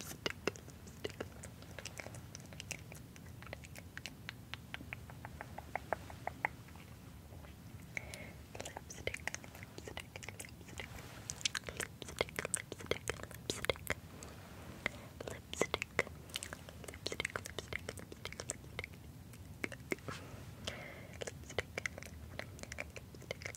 Stick, stick. Lipstick, lipstick, lipstick, lipstick, lipstick, lipstick, lipstick, lipstick, lipstick, lipstick, lipstick, lipstick, lipstick,